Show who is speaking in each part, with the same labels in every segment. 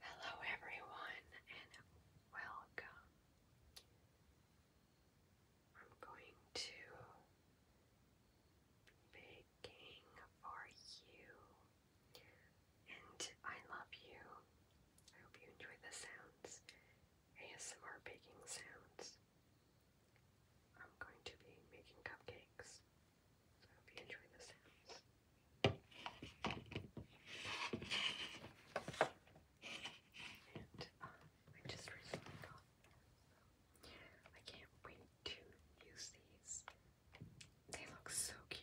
Speaker 1: Hello, everyone, and welcome. I'm going to begin for you and I love you. I hope you enjoy the sounds, ASMR baking sounds. I'm going to be making cupcakes, so I hope you enjoy the sounds. And uh, I just recently got I can't wait to use these. They look so cute.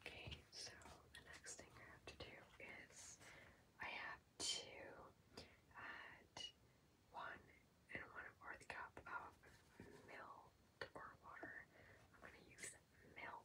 Speaker 1: Okay, so the next thing I have to do is I have to add one and one fourth cup of milk or water. I'm going to use milk.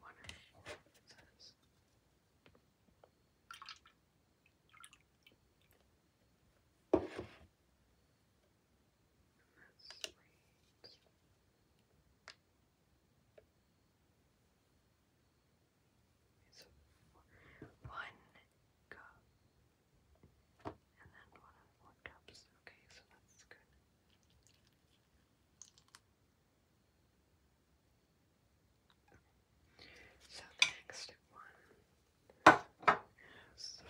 Speaker 1: Wonder one cup. And then one four cups. Okay, so that's good. So the next one so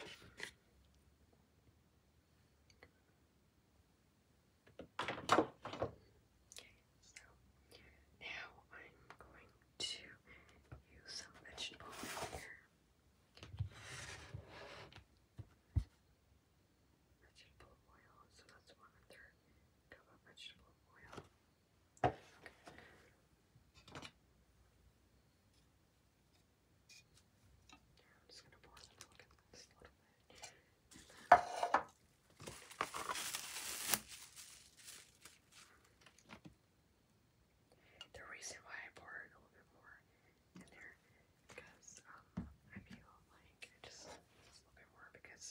Speaker 1: now I'm going to use some vegetable here vegetable oil, so that's one cup of vegetable oil. I'm just gonna pour a little bit. And the reason why I pour a little bit more in there because um I feel like just a little bit more because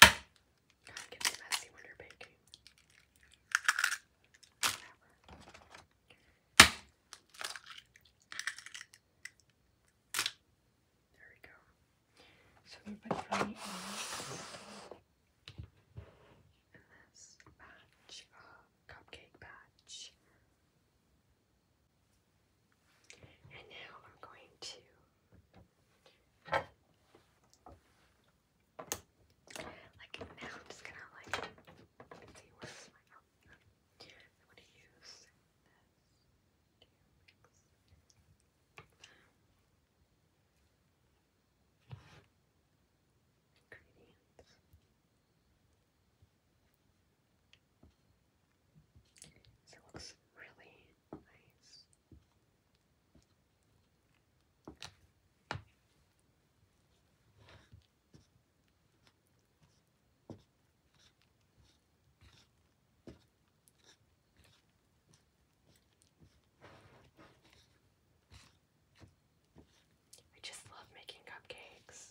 Speaker 1: It gets messy when you're baking. There we go. So we put honey in cupcake batch. And now I'm going to like now I'm just gonna like see where's my mouth. I'm use ingredients. So it looks really nice. I just love making cupcakes.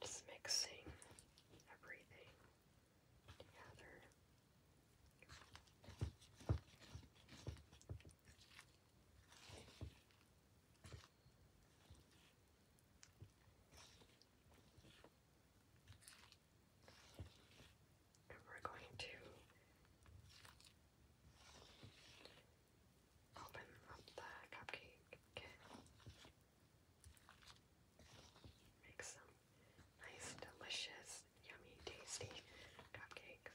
Speaker 1: Just mixing everything together we're going to open up the cupcake Make some nice, delicious, yummy, tasty cupcakes.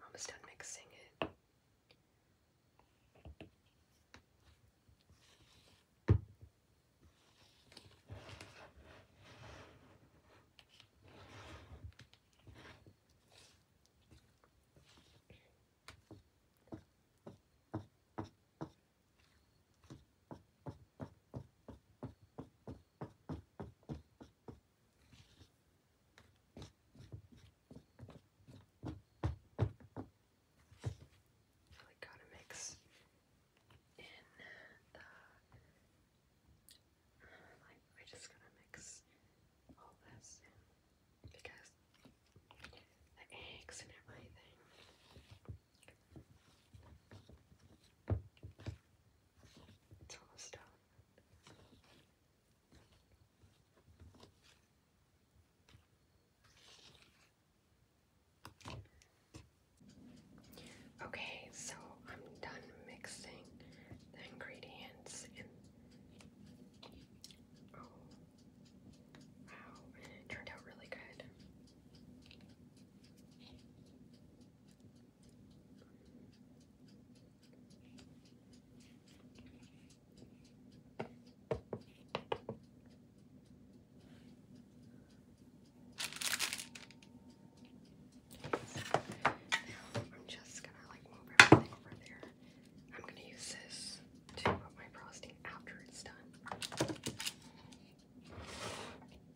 Speaker 1: Mama's done mixing it. Really got we're just gonna mix all this because the eggs and everything. It's almost done. Okay, so I'm done mixing the ingredients oh wow, turned out really good. Now I'm just gonna like move everything over there. I'm gonna use this to put my frosting after it's done.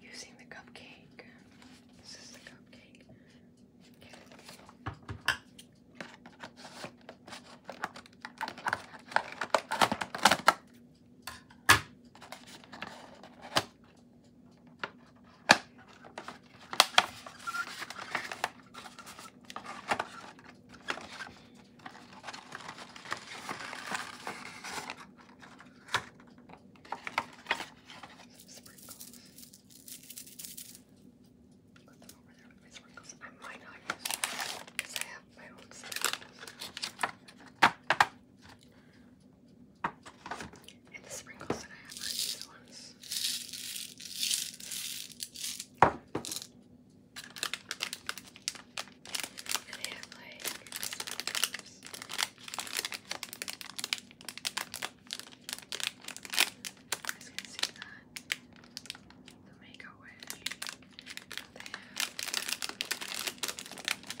Speaker 1: Using the cupcake. This is the cupcake. Okay. Sprinkles. Put them over there with my sprinkles. I might not use them because I have my own sprinkles. And the sprinkles that I have are these they have like sprinkles. I just can see that. The make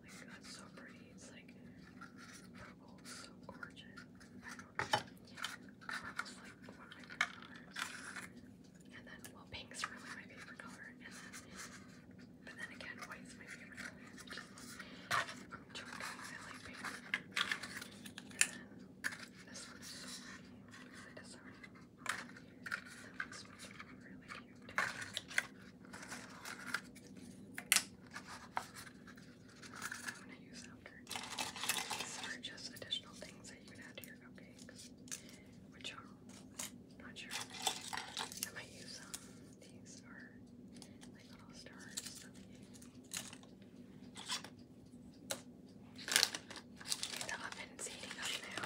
Speaker 1: my god, so pretty. It's like purple, so gorgeous. Purple's like one of my favorite colors. And then, well, pink's really my favorite color. And then, but then again, white's my favorite color. I i like pink. And then, this one's so pretty. Really disarming. That one's really i just additional things that you can add to your cupcakes, which are not sure. I might use These are like little stars The oven's heating up now.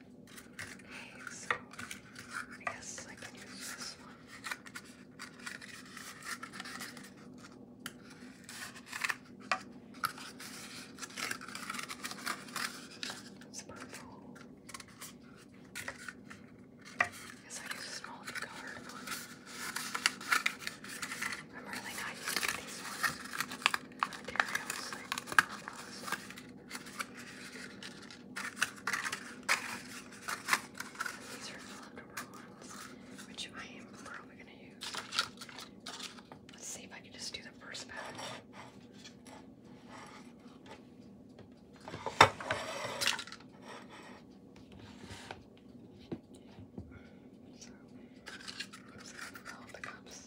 Speaker 1: Okay, so I guess I can use this one. It's purple. I guess I use a small colored I'm really not used to these ones. These are leftover ones, which I am probably going to use. Let's see if I can just do the first pack. So, all the cups.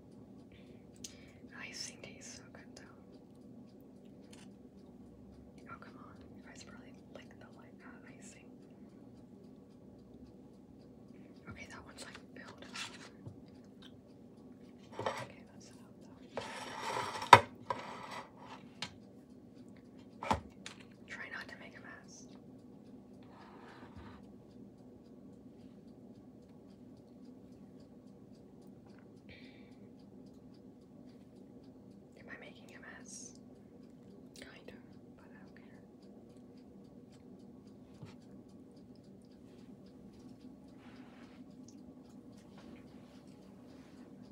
Speaker 1: Oh, I think he's so good though. Oh come on, you guys probably like the uh, icing. Okay, that one's like built Okay, that's enough Try not to make a mess. Am I making a mess? Kind of, but I don't care.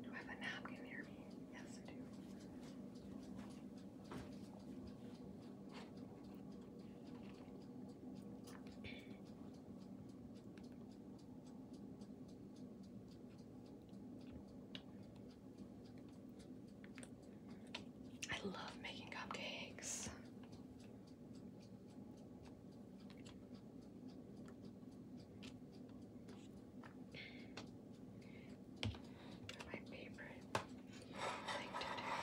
Speaker 1: Do I have a napkin near me? Yes, I do. I love making cupcakes. They're my favorite thing to do.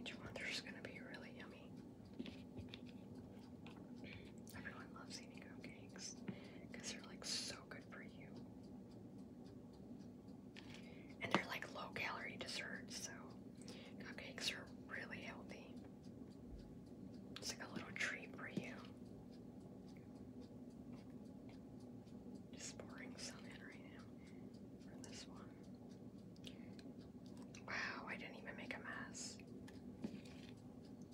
Speaker 1: Each one is going to be really yummy. Everyone loves eating cupcakes because they're like so good for you. And they're like low calorie desserts, so cupcakes are really healthy. It's like a little treat for you. Just pouring some right now. Wow, I didn't even make a mess.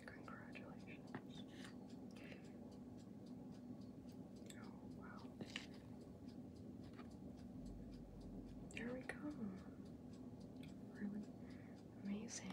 Speaker 1: Congratulations. Oh, wow. There we go. amazing.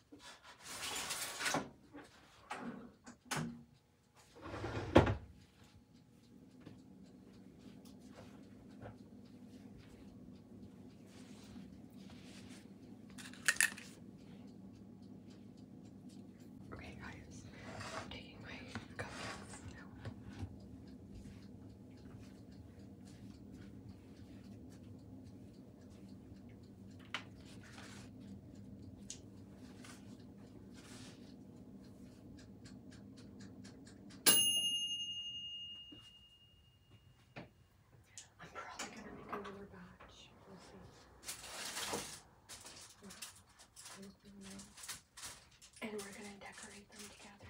Speaker 1: Okay, guys, I'm taking my cupcakes now. I'm probably gonna make another batch. We'll see. And we're gonna decorate them together.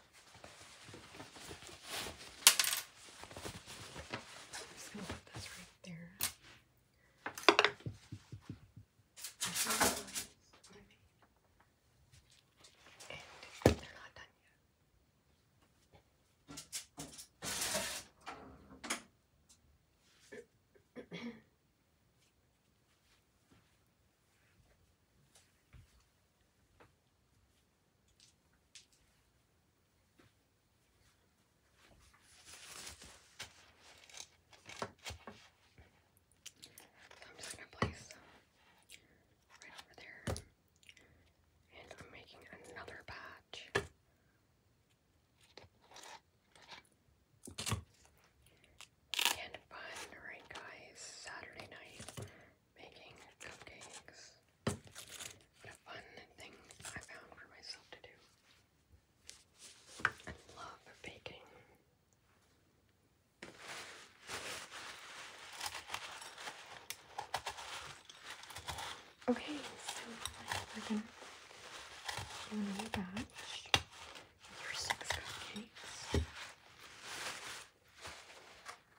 Speaker 1: just gonna put this right there. And they're not done yet. So I'm just gonna place right over there. And I'm making another batch. And fun, right guys? Saturday night making cupcakes. What a fun thing I found for myself to do. I love baking. Okay, so we're gonna do a batch for six cupcakes.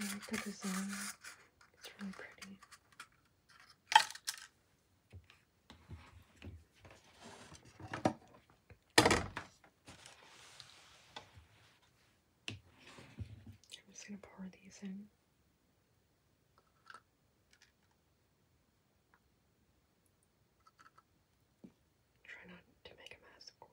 Speaker 1: I like the design. It's really pretty. I'm just going to pour these in. Try not to make a mess, of course.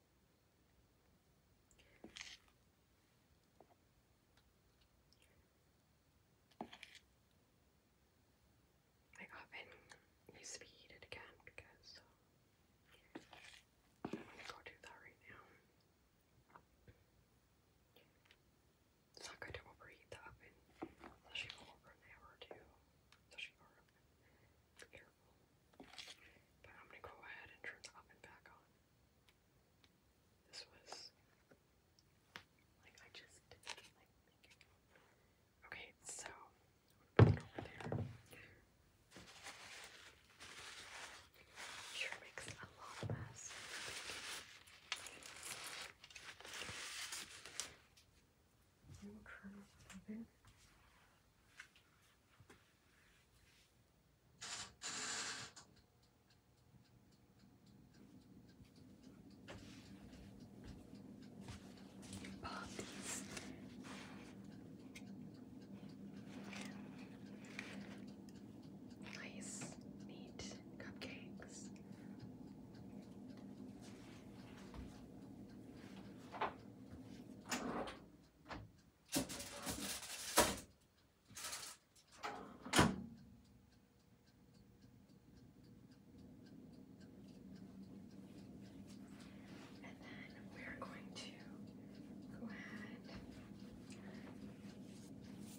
Speaker 1: My oven needs to be heated again because I don't to go do that right now. It's not good to overheat the oven, especially over an hour or two, especially over terrible. But I'm gonna go ahead and turn the oven back on. This was like I just like Okay, so over there. Sure makes a lot of mess. We'll turn it over. Bob these nice, neat cupcakes. And then we're going to go ahead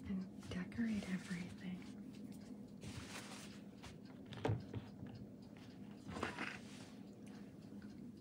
Speaker 1: and decorate everything.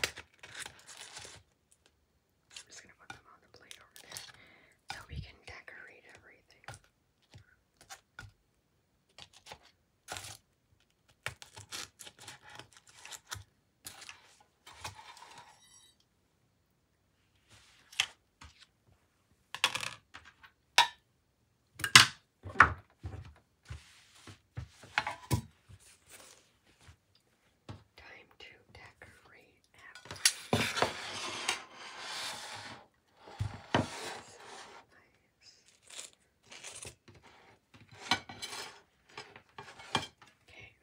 Speaker 1: I'm just gonna put them on the plate so we can decorate everything. Time to decorate Okay,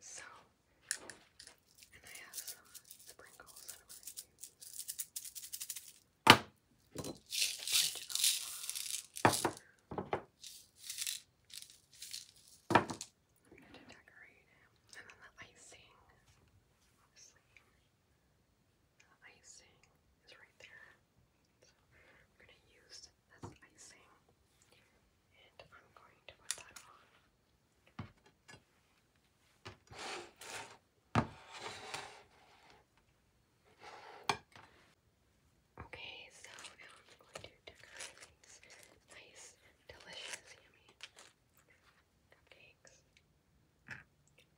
Speaker 1: so and I have some sprinkles I'm to use to decorate it. And then the icing, obviously, the icing is right there. So I'm going to use this icing and I'm going to put that on. Okay, so I'm going to decorate these nice, delicious, yummy cupcakes.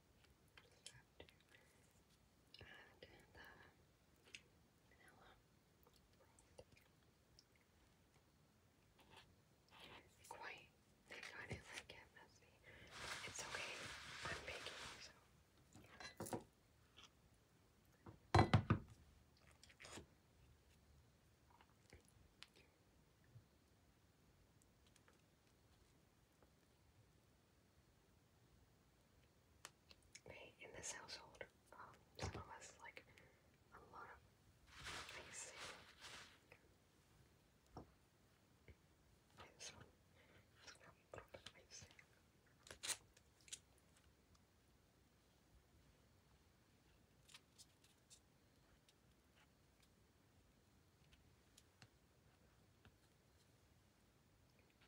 Speaker 1: Just have the vanilla. Uh, Quite. Thank God it like get messy. It's okay. I'm baking, so. Hey, in this household, um, some of us like a lot of things.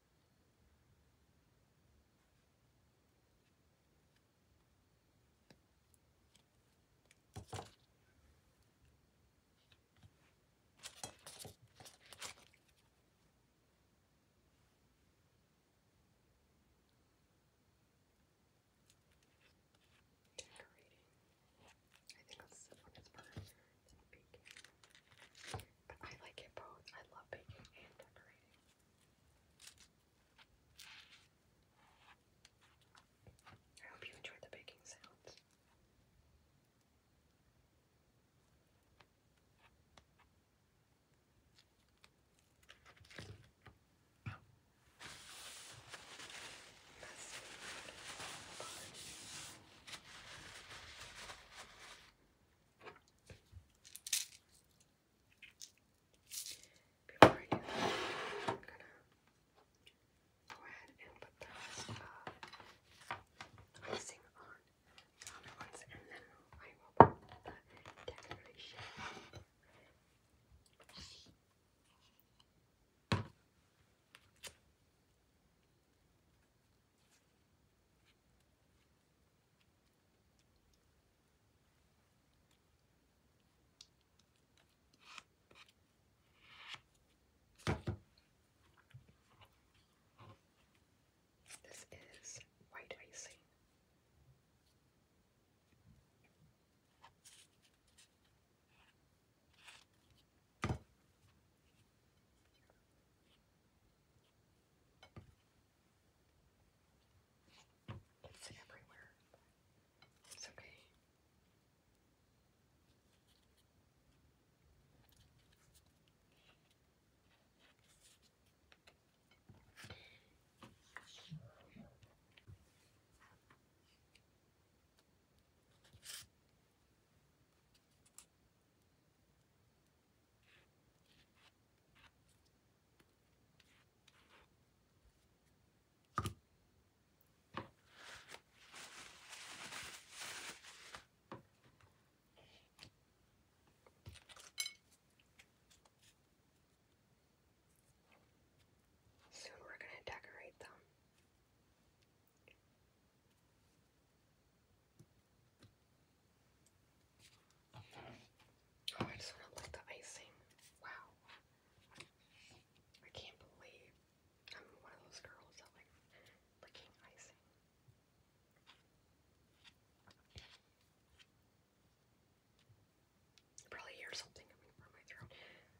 Speaker 1: Decorating. I think this one is for baking. But I like it both. I love baking and decorating. I hope you enjoyed the baking sounds. Before I am gonna go ahead and put the uh, icing on the other ones, and then I will put the decoration. This is white icing. It's everywhere. It's okay. Soon we're going to decorate them. Oh, I just want to lick the icing. Wow. I can't believe I'm one of those girls that like licking icing. probably hear something coming from my throat.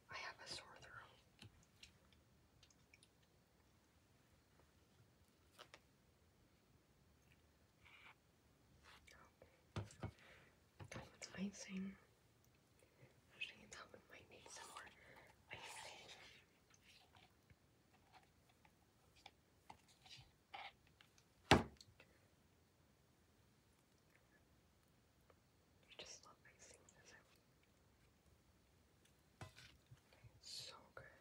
Speaker 1: I have a sore throat. Oh. That one's icing. Actually, that might need some more icing. I just love icing, doesn't it? So good.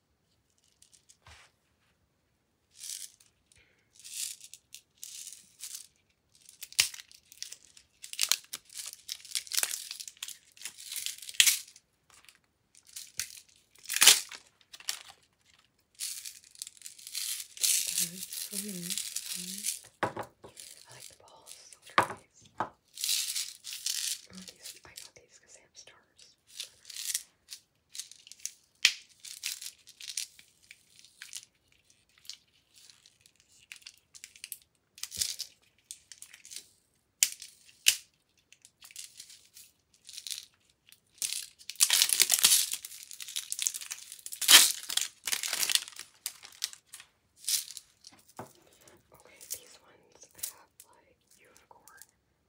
Speaker 1: Birds for I like the balls. I got these because they have stars. Okay, these ones have like unicorn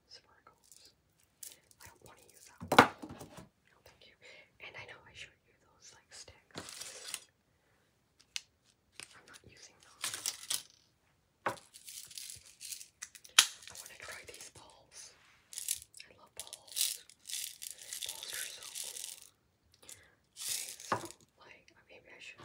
Speaker 1: sparkles. I don't want to use that No, thank you. And I know I showed you those like sticks. I'm not using those. I want to try these balls. I love balls. Balls are so cool. Okay, so like maybe I should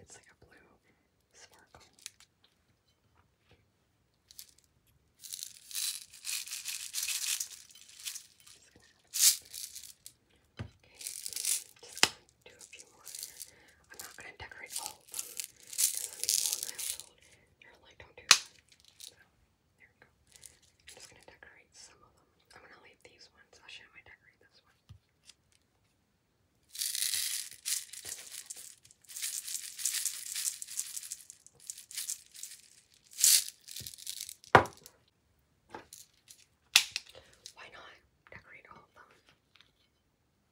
Speaker 1: It's like a blue sparkle. Just gonna add a little bit. Okay, just gonna do a few more here. I'm not gonna decorate all of them because some people in my household are like, don't do that. So there we go. I'm just gonna decorate some of them. I'm gonna leave these ones. I'll show you how I decorate this one. Why not decorate all of them? One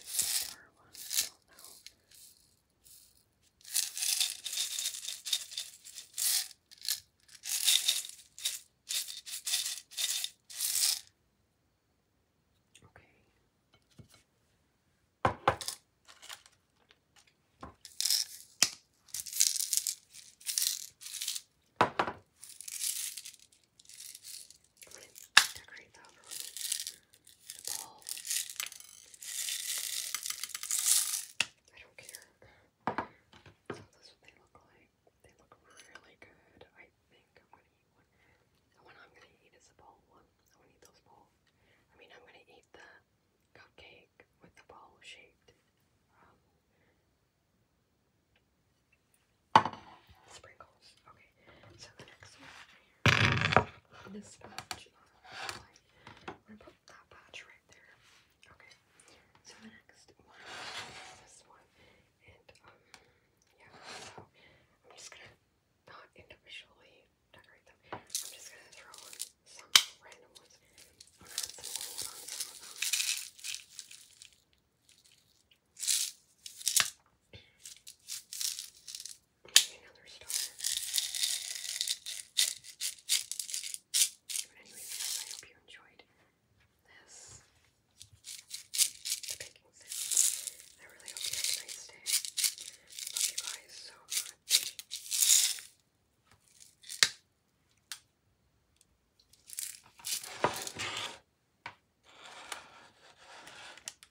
Speaker 1: is the star one, I don't know. Okay. I'm going to decorate the other one the ball. I don't care. So this what they look like. They look really good. I think I'm gonna eat one. The one I'm gonna eat is the bowl one. I want those bowls. I mean I'm gonna eat the cupcake with the bowl shaped sprinkles. Okay, so the next one this patch I'm gonna put that patch right there. Okay. So the next one is this one. And um yeah, so I'm just gonna not individually decorate them. I'm just gonna throw in some random ones. I'm gonna add on some of them. Another star. But anyway, I hope you enjoyed this. I really hope you have a nice day. Love you guys so much.